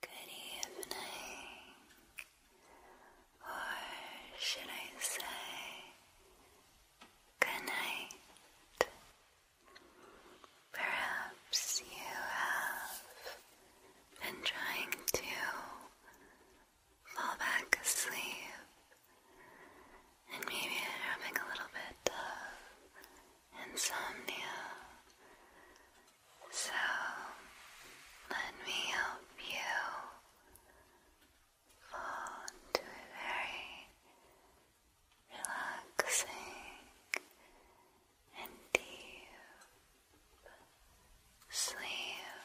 Good evening, or should I say good night? Perhaps you have been trying to fall back asleep and maybe having a little bit of insomnia. So let me help you fall into a very relaxing and deep sleep.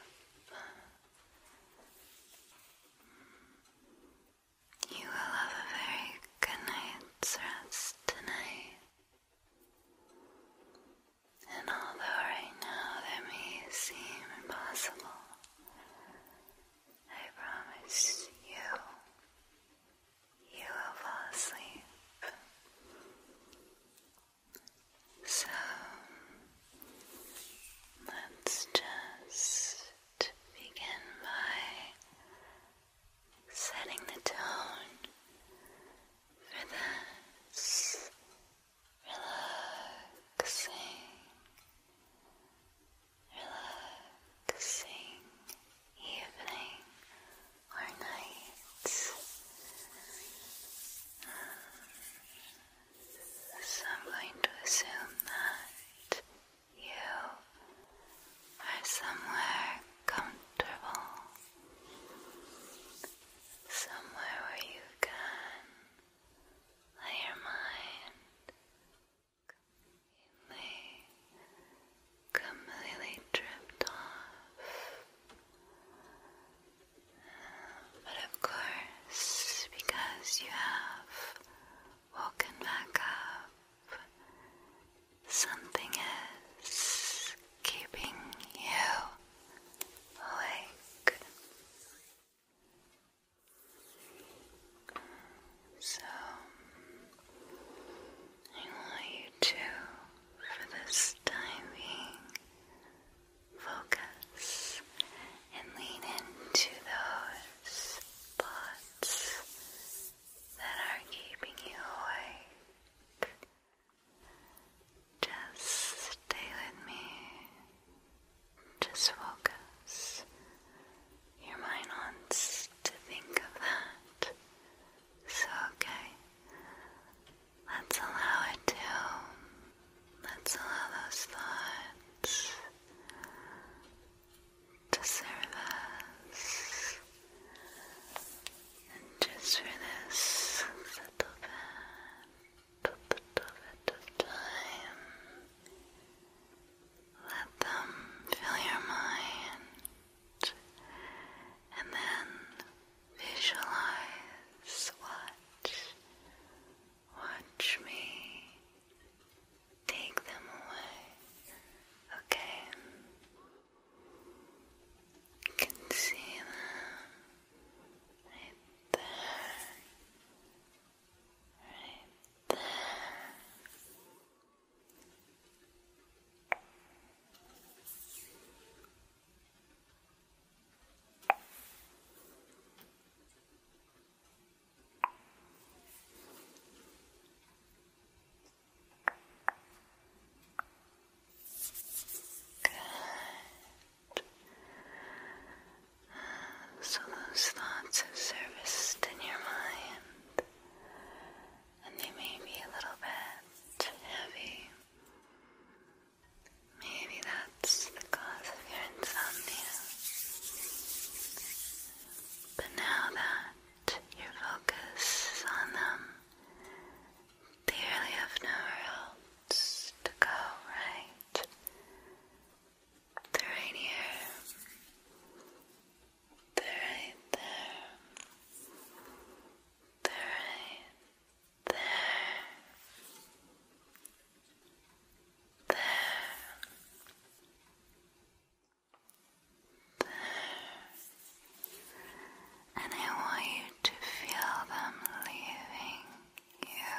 You will have a very good night's rest tonight. And although right now that may seem impossible, I promise you you will fall asleep. So let's just begin by setting the tone for this relaxing, relaxing evening or night. So I'm going to assume that you are somewhere comfortable, somewhere where you can let your mind completely completely dripped off. But of course, because you have woken back up, something is keeping you awake. So, I want you to, for this time being, focus and lean into those thoughts that are keeping you awake. Just stay with me. Just focus your mind wants to think of that so, okay, let's allow it to, let's allow those thoughts to serve us. And just for this time, let them fill your mind and then visualize what watch me take them away, okay? You can see them right there, right there. Good. So those thoughts have surfaced in your mind and they may be a little bit heavy. Maybe that's the cause of your insomnia. But now that your focus is on them, they really have nowhere else to go, right? They're right here. They're right there. They're right there. There. There. And I want you to feel them leaving you.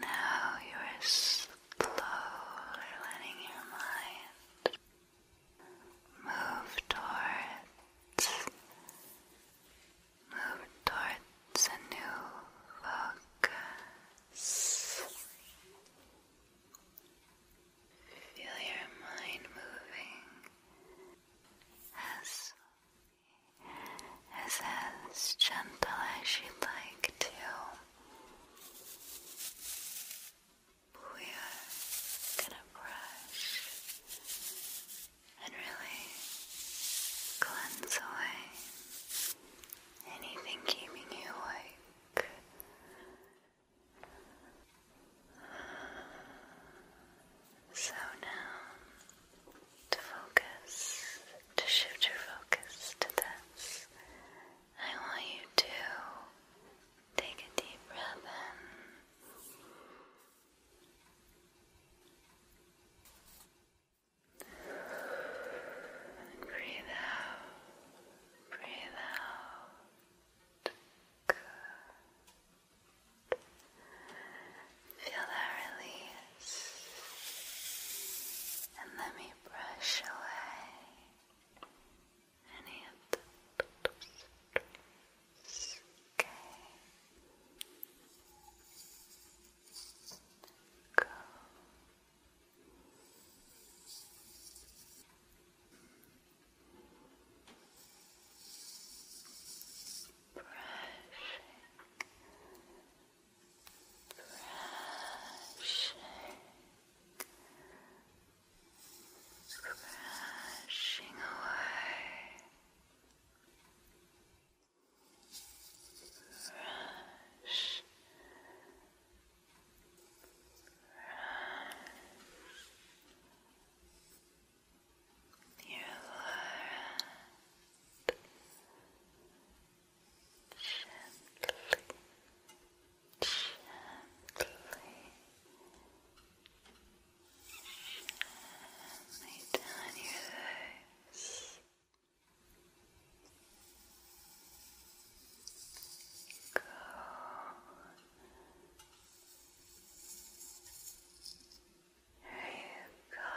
Now you are slowly letting your mind Move towards, move towards a new focus. Feel your mind moving as as as gentle as you'd like to we're gonna brush and really cleanse away anything keeping you awake. So now, to focus, to shift your focus to this I want you to take a deep breath in. And breathe out. Breathe out. Feel that release. And let me brush away any of the little okay? Go. Brushing, brushing, Crashing away. Rush. Rush. Your lower end gently, gently down your nose. Go there you go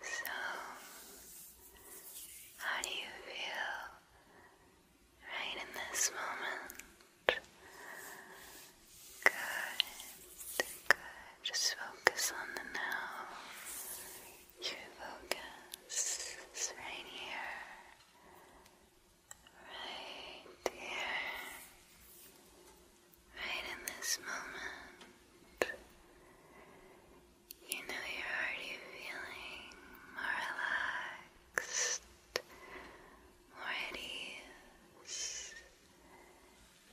so, how do you feel right in this moment. Good, good. Just focus on the now. Your focus is right here. Right here. Right in this moment. You know you're already feeling more relaxed, more at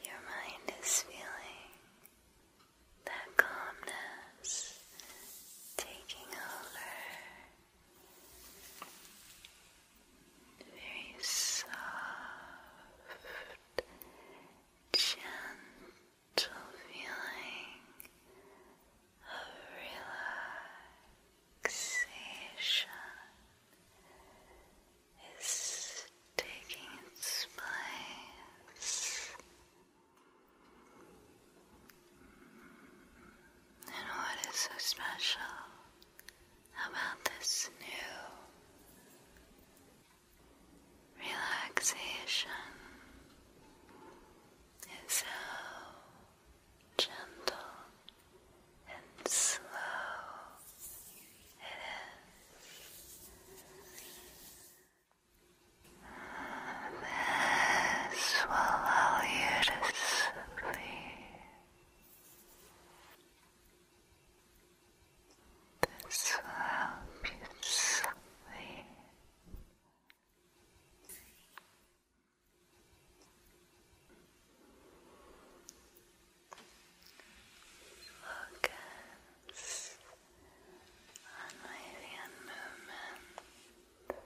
Your mind is feeling that calmness taking over. Very soft, gentle feeling of relaxation is taking its place and what is so special about this new relaxation is gentle, and slow it is. This will allow you to sleep. This will help you sleep. Focus on my hand movement.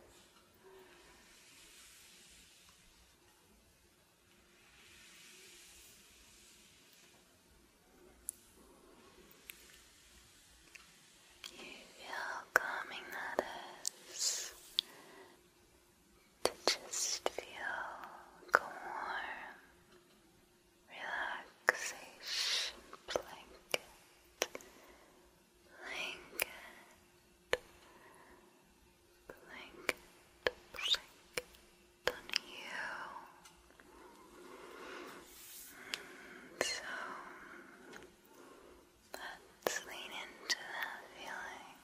You feel calming that is to just feel warm relaxation blanket, blanket, blanket, blanket on you. Mm, so Let's lean into that feeling.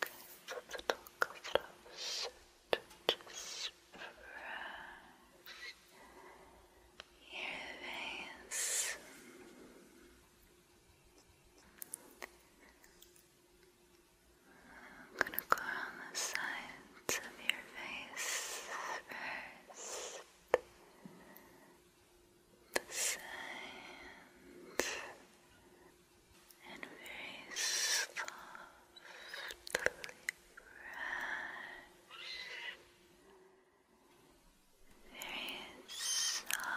Good. Close to just brush your I'm gonna go around the side sides of your face first. The sides and very softly brush. Very softly.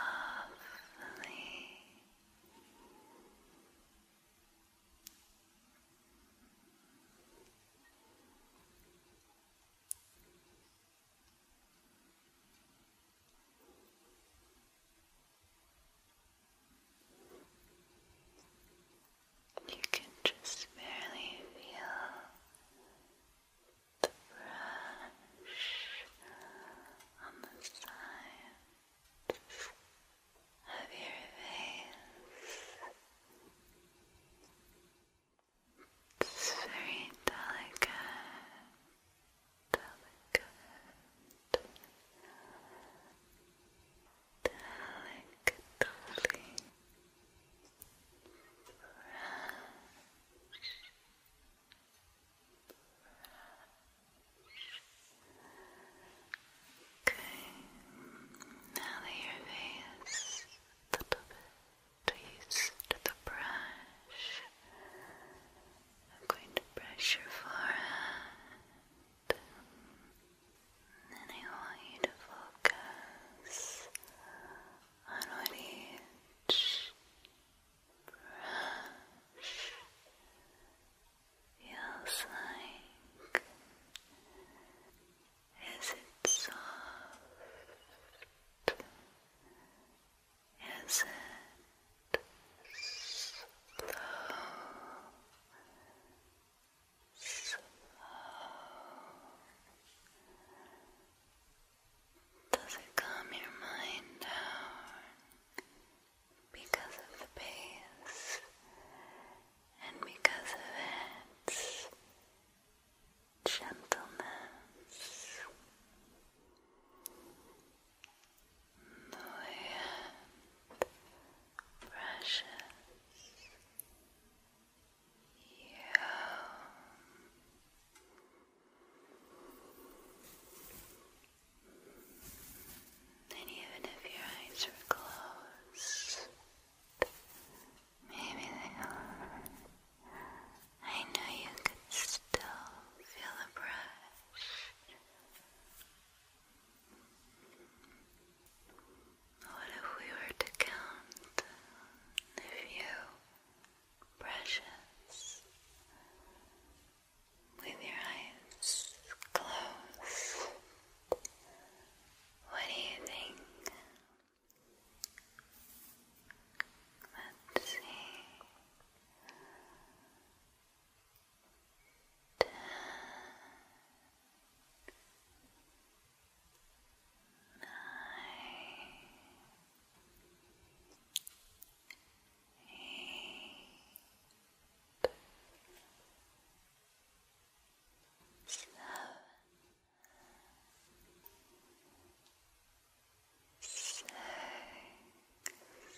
You can just barely feel the brush on the sides of your face. It's very delicate, delicate, delicately Okay, now that your face is a I'm going to brush your forehead. And I want you to focus on each brush feels like? Is it soft? Is it slow? Slow. Does it calm your mind down because of the pace and because of its gentleness, the way it brushes you. And even if your eyes were closed, maybe they are. I know you could still feel the brush. What if we were to count a few brushes with your eyes closed? What do you think? Let's see. Ten slow, six, five, four,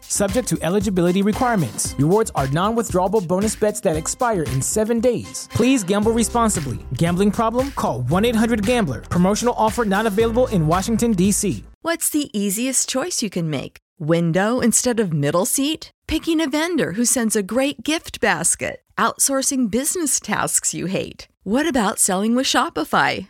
subject to eligibility requirements. Rewards are non withdrawable bonus bets that expire in seven days. Please gamble responsibly. Gambling problem? Call 1 800 Gambler. Promotional offer not available in Washington, D.C. What's the easiest choice you can make? Window instead of middle seat? Picking a vendor who sends a great gift basket? Outsourcing business tasks you hate? What about selling with Shopify?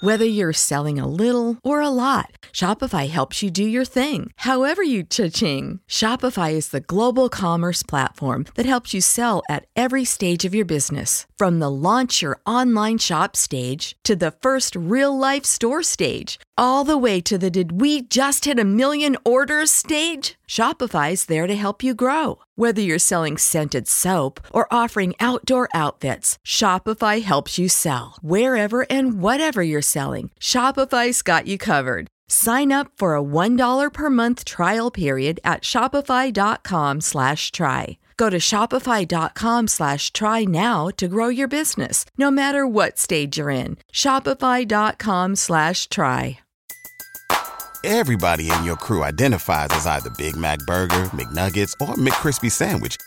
Whether you're selling a little or a lot, Shopify helps you do your thing, however you cha-ching. Shopify is the global commerce platform that helps you sell at every stage of your business. From the launch your online shop stage to the first real life store stage, all the way to the did we just hit a million orders stage? Shopify is there to help you grow. Whether you're selling scented soap or offering outdoor outdoor outfits, Shopify helps you sell. Wherever and whatever you're selling, Shopify's got you covered. Sign up for a $1 per month trial period at shopify.com slash try. Go to shopify.com slash try now to grow your business, no matter what stage you're in. Shopify.com slash try. Everybody in your crew identifies as either Big Mac Burger, McNuggets, or McCrispy Sandwich –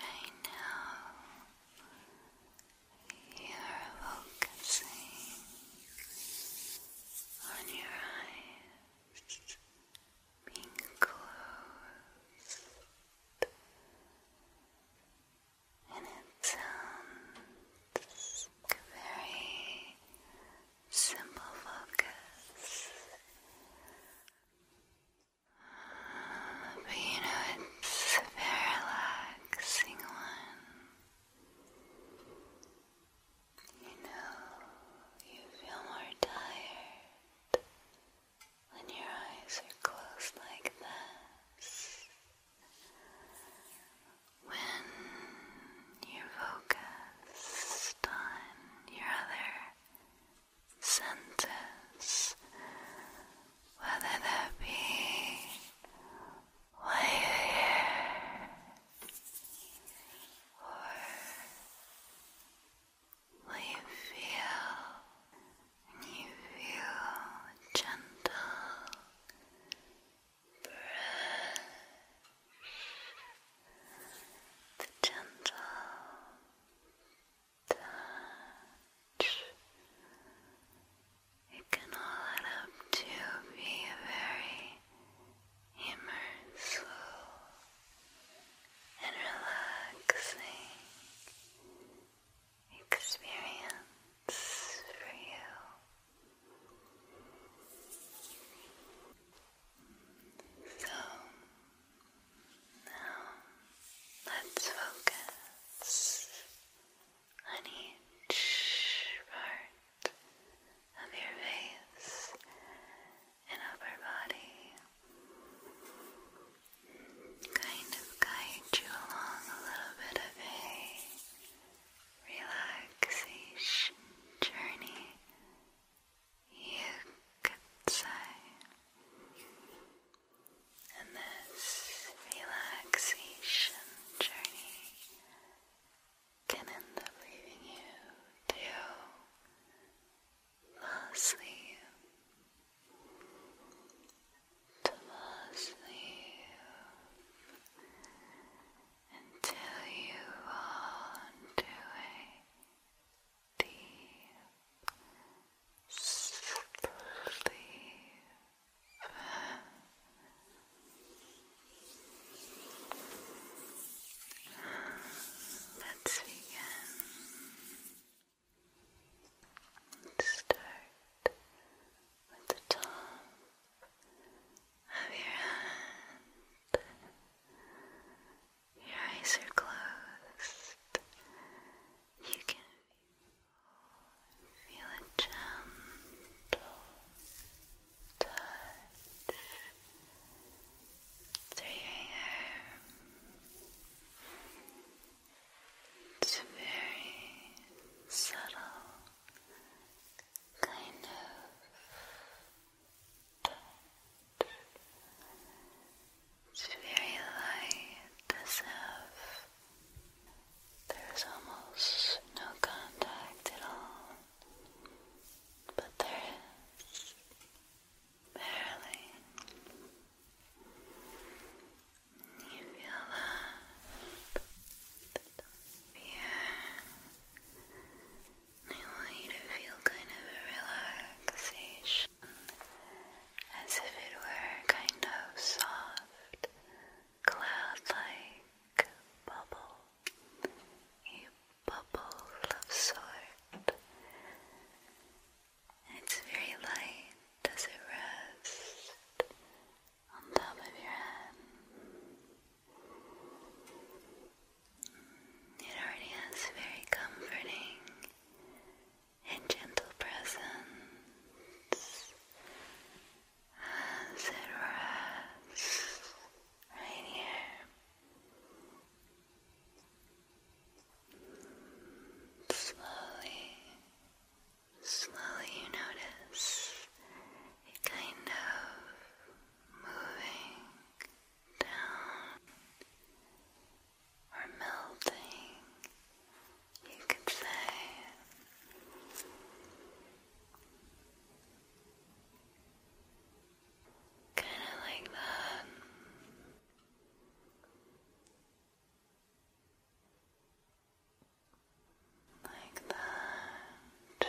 Right now, you're focusing on your eyes being closed and it sounds very simple focus but you know it's a very relaxing one you know you feel more tired when your eyes are closed like this, when you focus on your other senses, whether that be why you hear or Will you feel you feel gentle breath the gentle touch it can all add up to be very Immer and relaxing experience for you. So now let's focus on each part of your face and upper body kind of guide you along a little bit of a relaxation journey, you could say. And this relaxation journey can end up leaving you to fall To fall until you fall into deep sleep. Let's begin. start with the top of your hand. Your eyes are closed. You can feel a gentle touch through It's very subtle kind of It's very light, as if there's almost no contact at all but there is barely. You feel that fear. I want you to feel kind of relaxation, as if it were kind of soft, cloud-like bubbles a bubble of sort. It's very light as it rests on top of your head. It already has a very comforting and gentle presence as it rests right here. Slowly, slowly you notice it kind of moving down or melting, you could say. Kind of like that. Like that.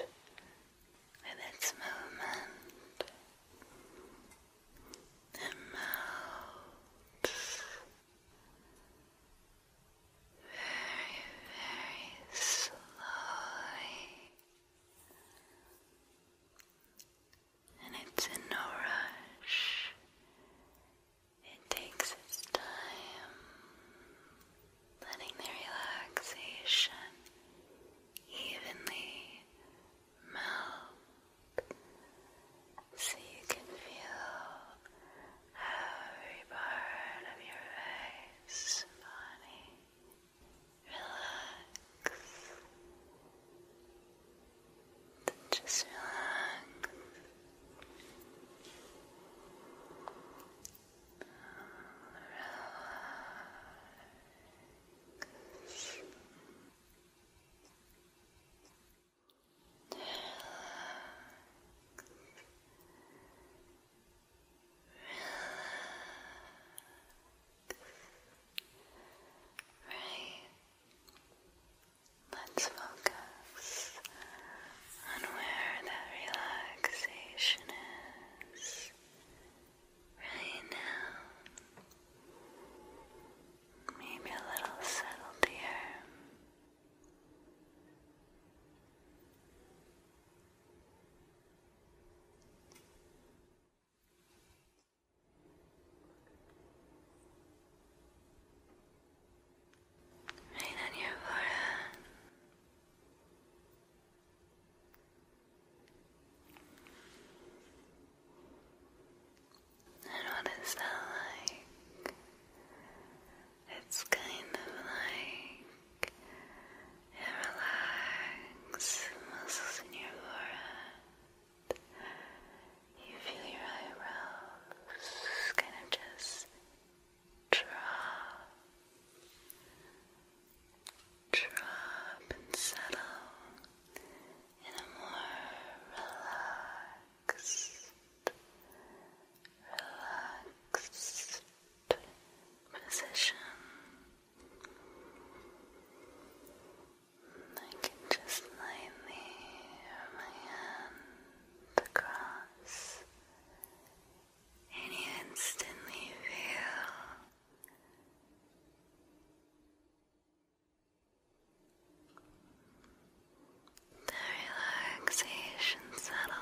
With its movement, it melts very, very slowly. And it's in no rush. It takes its time, letting the relaxation evenly melt so you can feel every part of your face body Relax. Just relax. Relax. Relax. Right. Let's focus on where that relaxation is right now. Maybe a little settled here. Right on your forehead. And what is that like? It's kind of like and relax the muscles in your forehead. You feel your eyebrows kind of just drop, drop and settle in a more relaxed, relaxed position. I can just lightly rub my hand across and you instantly feel the relaxation settle.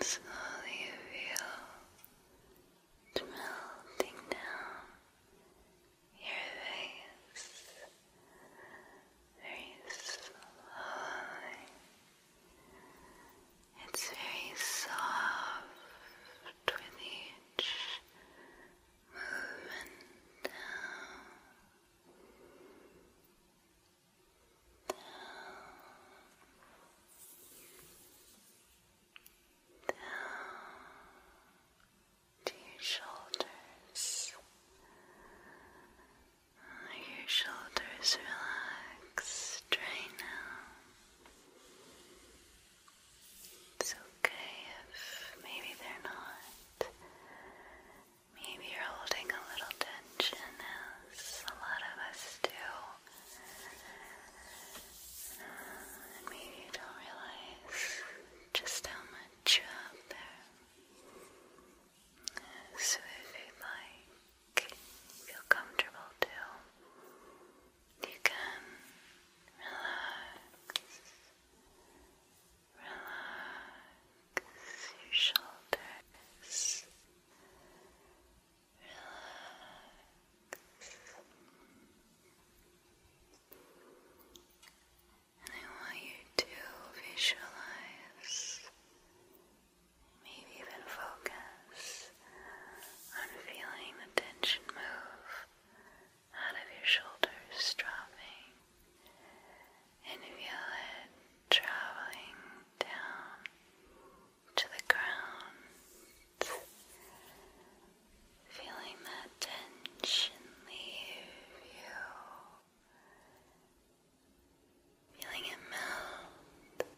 Slowly you feel melting down your face very slowly. It's very soft with each moving down, down, down to your shoulders. Your shoulders relaxed right now. It's okay if maybe they're not. Maybe you're holding a little tension, as a lot of us do. And maybe you don't realize just how much you have there. So if you'd like, feel comfortable too you can relax, relax your relax. And I want you to visualize, maybe even focus on feeling the tension move out of your shoulders, dropping, and feel it traveling down to the ground. Feeling that tension leave you. Feeling it melt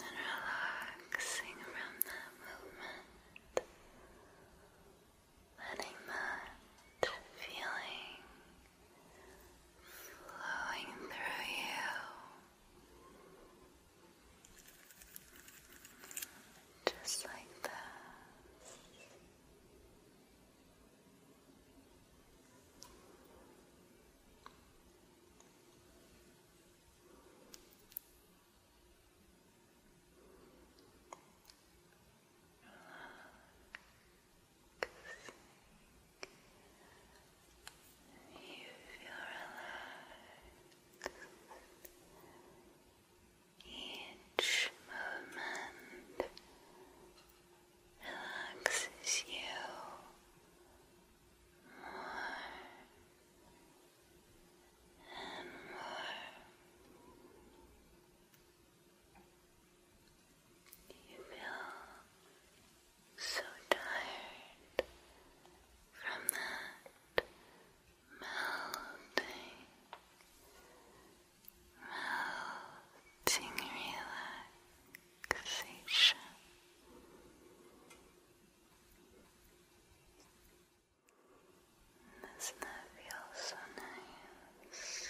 and relaxing around the movement, letting that feeling flowing through you. Just like that. You feel relaxed. Each movement relaxes you and more. You feel so tired from that melting, melting relaxation. Doesn't that feel so nice?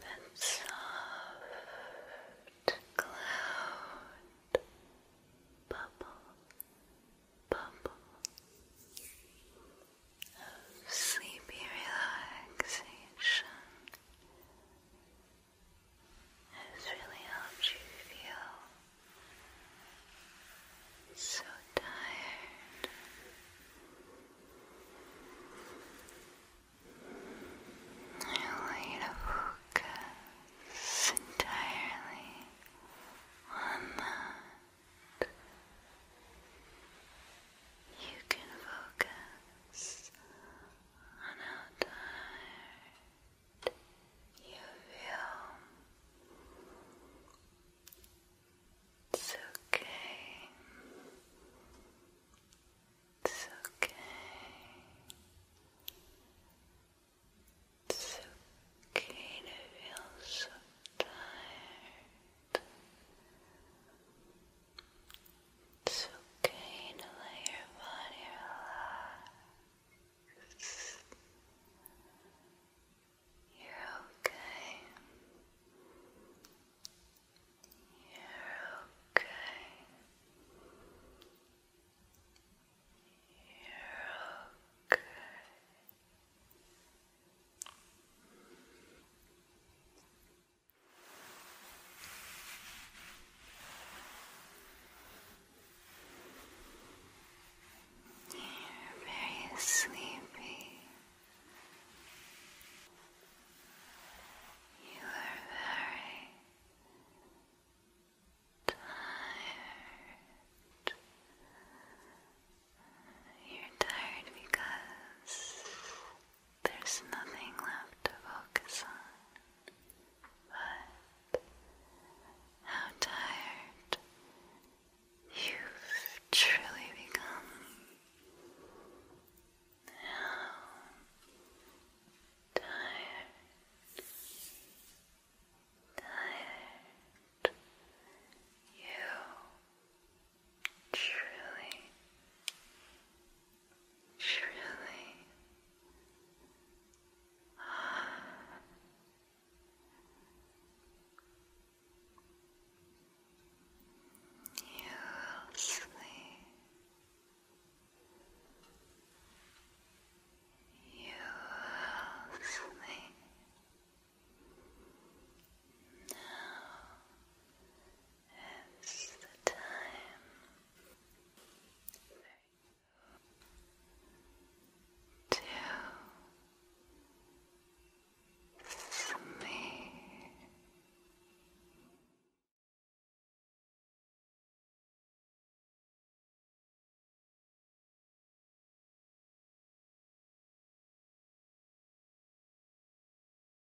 That soft cloud bubble, bubble of sleepy relaxation has really helped you feel so tired. I want you to focus entirely on that. You can focus on how tired you feel. It's okay. It's okay. It's okay to feel so tired. It's okay to let your body relax. You're okay. You're okay. You're okay. You're very sleepy. You are very tired. You're tired because there's nothing left to focus on but how tired you've truly become. How tired, tired you truly, truly. You will sleep. You will sleep. Now it's the time to sleep.